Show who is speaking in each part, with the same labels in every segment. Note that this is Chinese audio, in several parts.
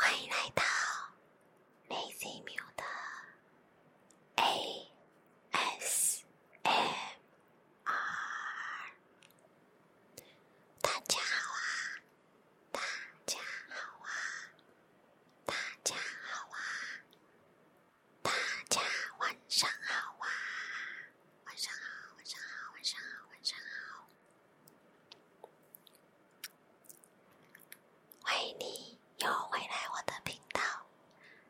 Speaker 1: 欢迎来到内思淼的 AS。M R，大家好啊！大家好啊！大家好啊！大家晚上好啊！晚上好，晚上好，晚上好，晚上好！欢迎你又回来我的频道。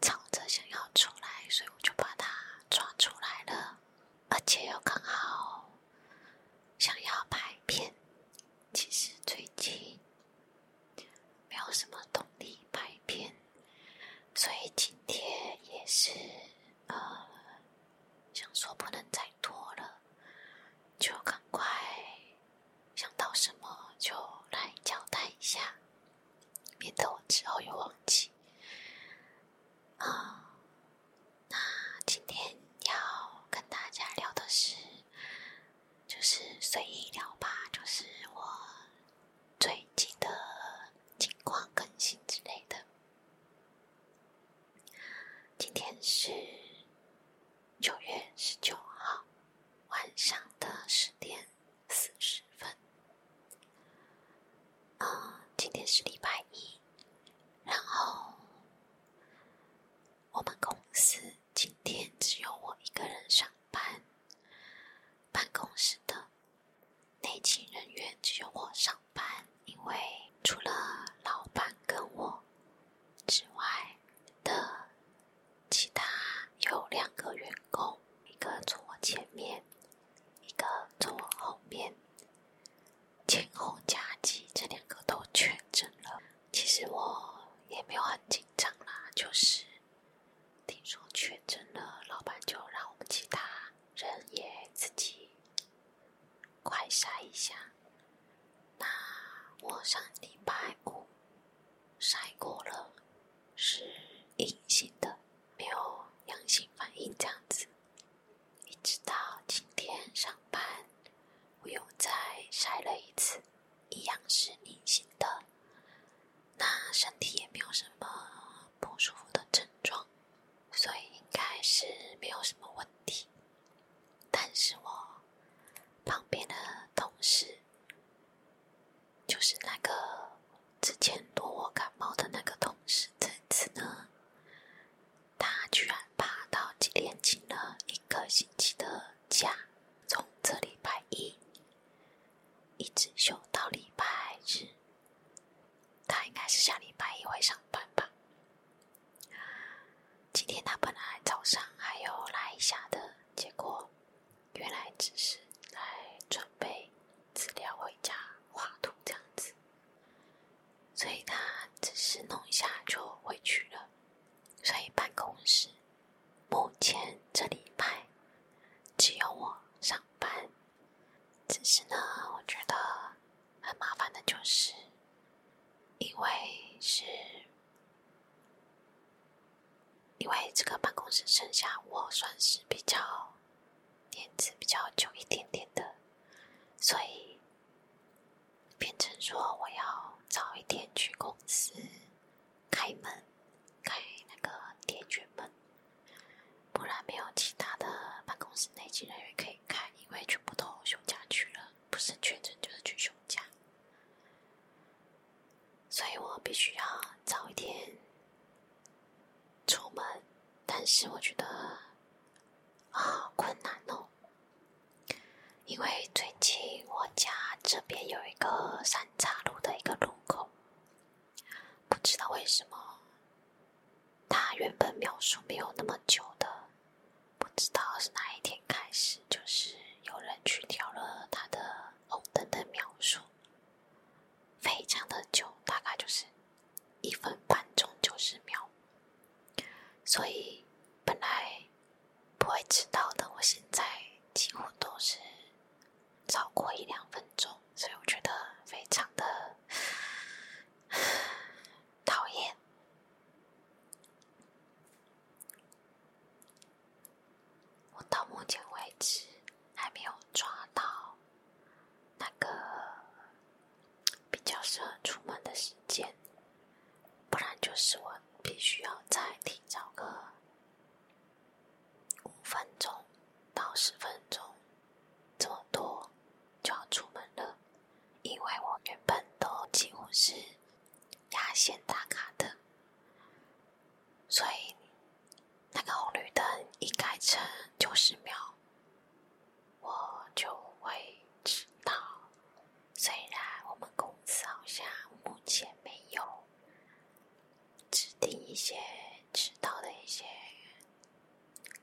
Speaker 1: 藏着想要出来，所以我就把它抓出来了，而且又刚好想要拍片。其实最近没有什么动力拍片，所以今天也是呃，想说不能再拖了，就赶快想到什么就来交代一下。免得我之后又忘记。嗯，那今天要跟大家聊的是，就是随意聊吧，就是我最近的情况更新之类的。今天是九月十九号晚上的十点。四十分。啊，今天是礼拜一，然后我们公司今天只有我一个人上班，办公室的内勤人员只有我上班，因为除了老板跟我之外的。其他有两个员工，一个从我前面，一个从我后面，前后夹击，这两个都确诊了。其实我也没有很紧张啦，就是听说确诊了，老板就让我们其他人也自己快筛一下。那我上礼拜五。晒过了，是阴性的，没有阳性反应这样子。一直到今天上班，我又再晒了一次，一样是阴性的。那身体也没有什么不舒服的症状，所以应该是没有什么问题。但是我旁边的同事。就是那个之前躲我感冒的那个同事，这次呢，他居然爬到今天请了一个星期的假，从这礼拜一一直休到礼拜日。他应该是下礼拜一会上班吧？今天他本来早上还有来一下的，结果。原来只是来准备资料回家画图这样子，所以他只是弄一下就回去了。所以办公室目前这礼拜只有我上班。只是呢，我觉得很麻烦的就是，因为是。因为这个办公室剩下我算是比较年资比较久一点点的，所以变成说我要早一点去公司开门，开那个铁卷门，不然没有其他的办公室内勤人员可以开，因为全部都休假去了，不是全程就是去休假。所以我必须要早一点出门，但是我觉得啊困难哦，因为最近我家这边有一个三岔路的一个路口，不知道为什么，它原本描述没有那么久的，不知道是哪一天开始就是。有人去调了他的红灯的描述，非常的久，大概就是一分半钟九十秒，所以本来不会迟到的，我现在几乎都是超过一两分钟，所以我觉得非常的讨厌。我到目前为止还没有抓到那个比较适合出门的时间，不然就是我必须要再提早个五分钟到十分钟，这么多就要出门了，因为我原本都几乎是。压线打卡的，所以那个红绿灯一改成九十秒，我就会迟到。虽然我们公司好像目前没有制定一些迟到的一些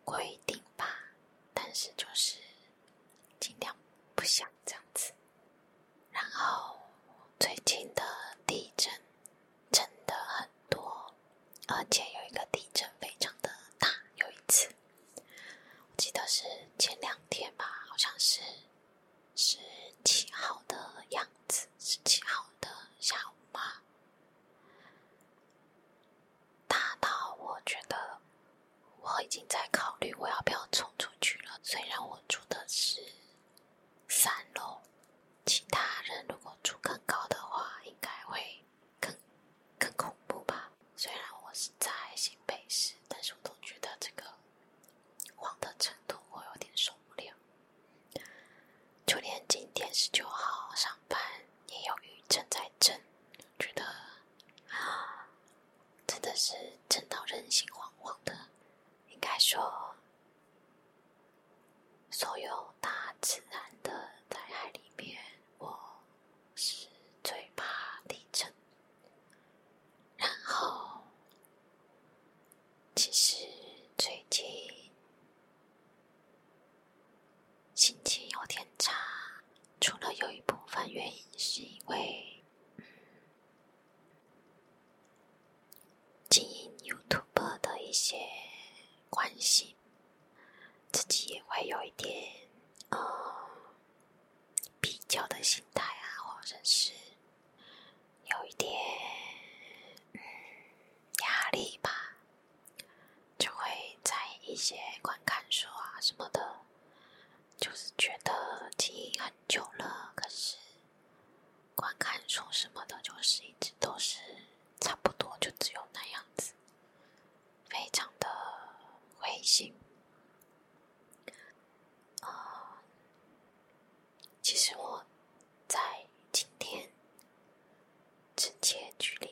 Speaker 1: 规定吧，但是就是。尽量不想这样子。然后最近的地震真的很多，而且有一个地震非常的大。有一次，我记得是前两天吧，好像是十七号的样子，十七号的下午吧，大到我觉得。我已经在考虑我要不要冲出去了。虽然我住的是三楼，其他人如果住更高的话，应该会更更恐怖吧。虽然我是在新北市，但是我都觉得这个黄的程度我有点受不了。就连今天十九号上班，也有雨正在震，觉得啊。真的是震到人心惶惶的，应该说，所有大自然的灾害里面，我是最怕地震。然后，其实最近心情有点差，除了有一部分原因是因为……嗯，经营 YouTube 的一些关系，自己也会有一点呃比较的心态啊，或者是有一点压力吧，就会在一些观看书啊什么的。就是觉得经营很久了，可是观看什么的，就是一直都是差不多，就只有那样子，非常的灰心。呃，其实我在今天直接距离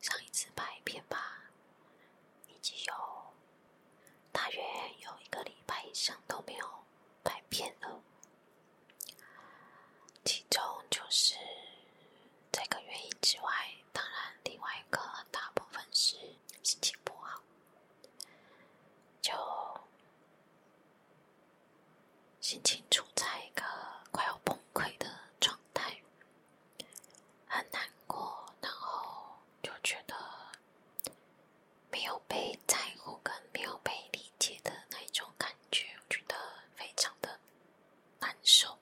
Speaker 1: 上一次拍片吧，已经有。大约有一个礼拜以上都没有拍片了，其中就是这个原因之外，当然另外一个大部分是心情不好，就心情处在一个快要崩溃的状态。很难过，然后就觉得没有被在乎，跟没有被理解的那一种感觉，我觉得非常的难受。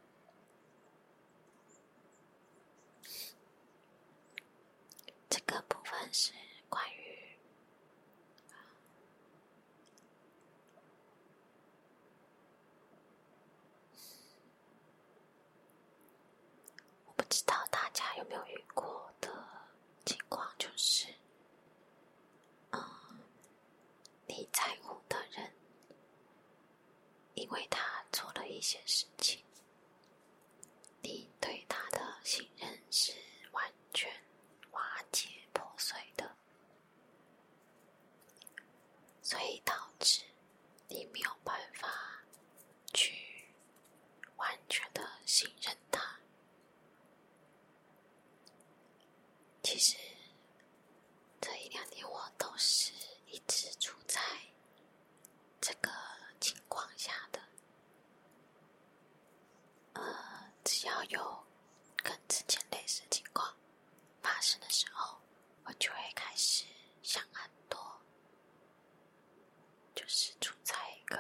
Speaker 1: 这个部分是关于。我不知道大家有没有遇过的情况，就是，嗯，你在乎的人，因为他做了一些事情，你对他的信任是完全瓦解破碎的。所以导致你没有办法去完全的信任他。其实这一两年我都是一直处在这个情况下的。呃，只要有跟之前类似情况。发生的时候，我就会开始想很多，就是处在一个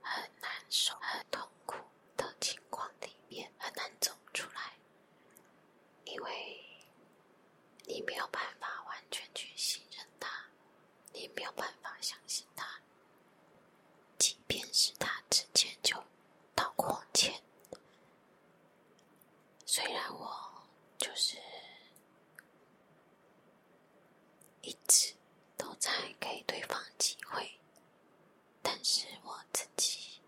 Speaker 1: 很难受、很痛苦的情况里面，很难走出来。因为，你没有办法完全去信任他，你没有办法相信他，即便是他之前就道过歉。虽然我就是一直都在给对方机会，但是我自己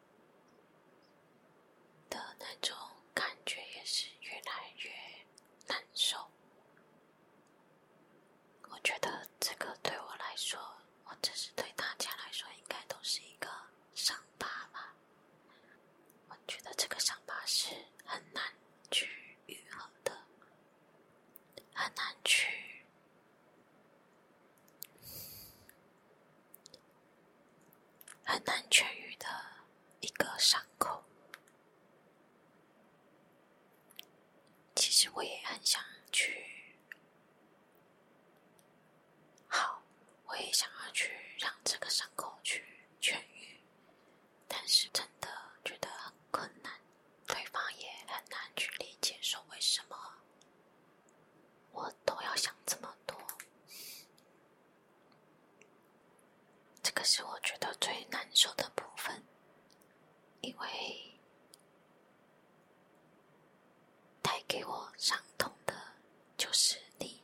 Speaker 1: 的那种感觉也是越来越难受。我觉得这个对我来说，或者是对大家来说，应该都是一个伤。疤吧，我觉得这个伤疤是很难去愈合的，很难去很难痊愈的一个伤口。其实我也很想去。好，我也想要去让这个伤口去痊愈，但是真的觉得很困难，对方也很难去理解，说为什么我都要想这么多，这个是我觉得最难受的部分，因为。带给我伤痛的，就是你。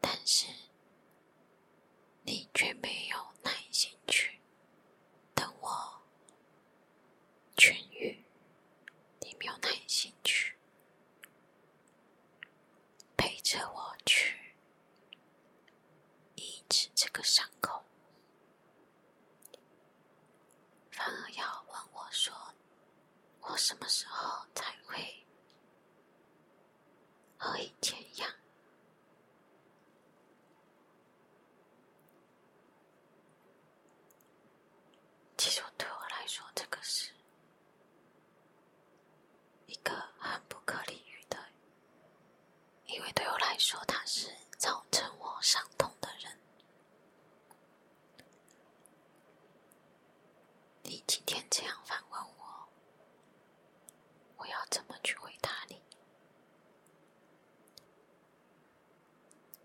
Speaker 1: 但是，你却没有耐心去等我痊愈，你没有耐心去陪着我去医治这个伤口。反而要问我说：“我什么时候才会和以前一样？”其实对我来说，这个是一个很不可理喻的，因为对我来说，他是造成我伤痛的人。你今天这样反问我，我要怎么去回答你？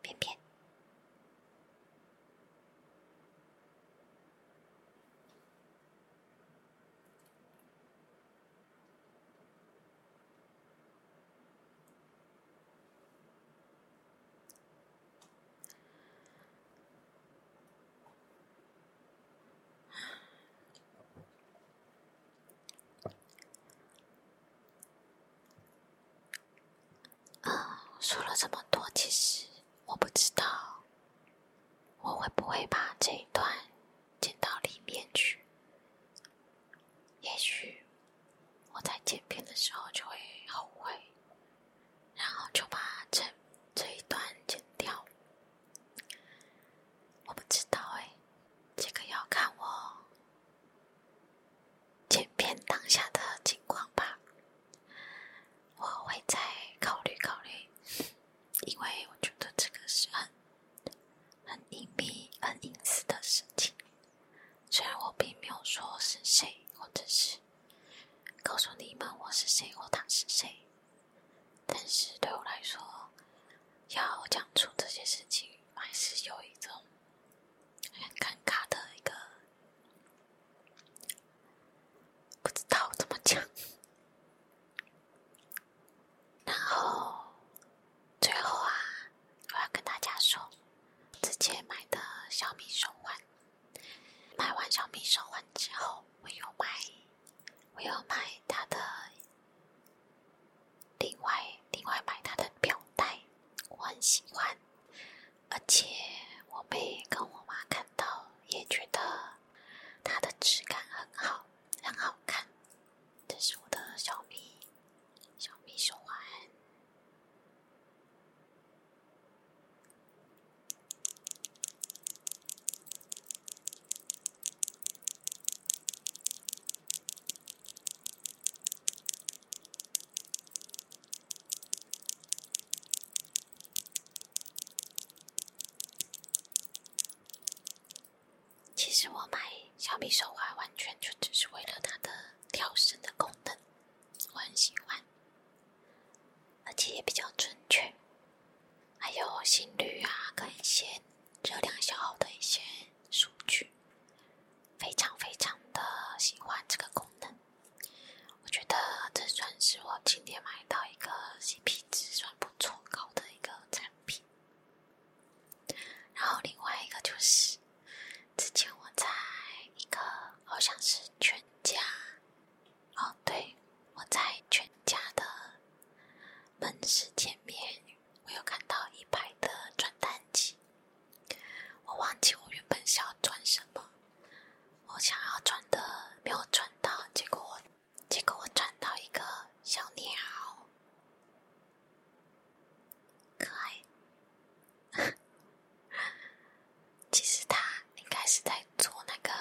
Speaker 1: 便便，啊，说了这么多，其实我不知道我会不会把这一段剪到里面去。也许我在剪片的时候就会后悔，然后就把这这一段剪掉。我不知道哎，这个要看我剪片当下的情况吧。我会再考虑考虑，因为我觉得这个是很很隐秘、很隐私的事情。虽然我并没有说我是谁，或者是告诉你们我是谁或他是谁，但是对我来说，要讲出这些事情还是有一种很尴尬的一个，不知道怎么讲。然后。最后啊，我要跟大家说，之前买的小米手环，买完小米手环之后，我又买，我又买它的，另外另外买它的表带，我很喜欢，而且我被跟我妈看到，也觉得它的质感很好，很好看。这是我的小米，小米手环。其实我买小米手环完全就只是为了它的跳绳的功能，我很喜欢，而且也比较准确，还有心率啊，一些热量消耗的一些数据，非常非常的喜欢这个功能。我觉得这算是我今天买到一个 CP 值算不错高的一个产品。然后另外一个就是，之前我在一个好像是全家，哦对，我在全家的门市前面，我有看到一排的转蛋机，我忘记我原本是要转什么，我想要转的没有转到，结果我，结果我转到一个小鸟。可爱，其实他应该是在做那个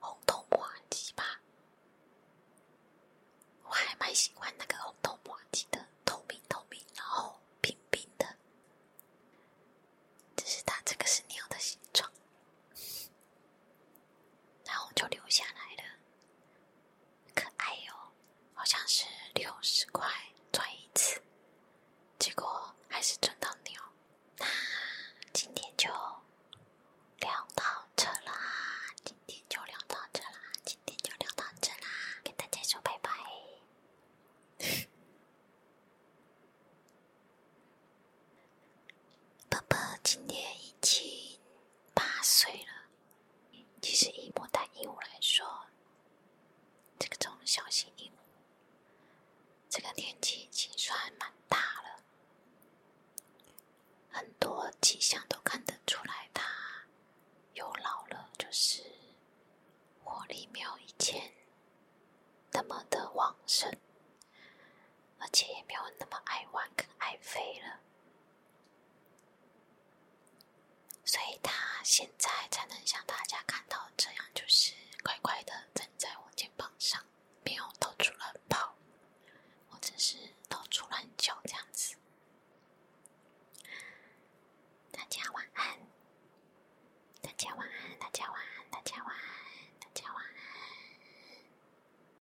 Speaker 1: 红头麻鸡吧？我还蛮喜欢那个红头麻鸡的，透明透明，然后冰冰的。只是它这个是鸟的形状，然后就留下来了。可爱哦，好像是六十块赚一次，结果还是赚到鸟。那今天就聊到这啦，今天就聊到这啦，今天就聊到这啦，跟大家说拜拜。宝宝今天已经八岁了。其实以牡丹鹦鹉来说，这个种小型鹦鹉，这个年纪已经算蛮大了，很多迹象都看得出来，它有老了，就是活力没有以前那么的旺盛，而且也没有那么爱玩跟爱飞了。所以他现在才能像大家看到这样，就是乖乖的站在我肩膀上，没有到处乱跑，或者是到处乱叫这样子。大家晚安，大家晚安，大家晚安，大家晚安，大家晚安。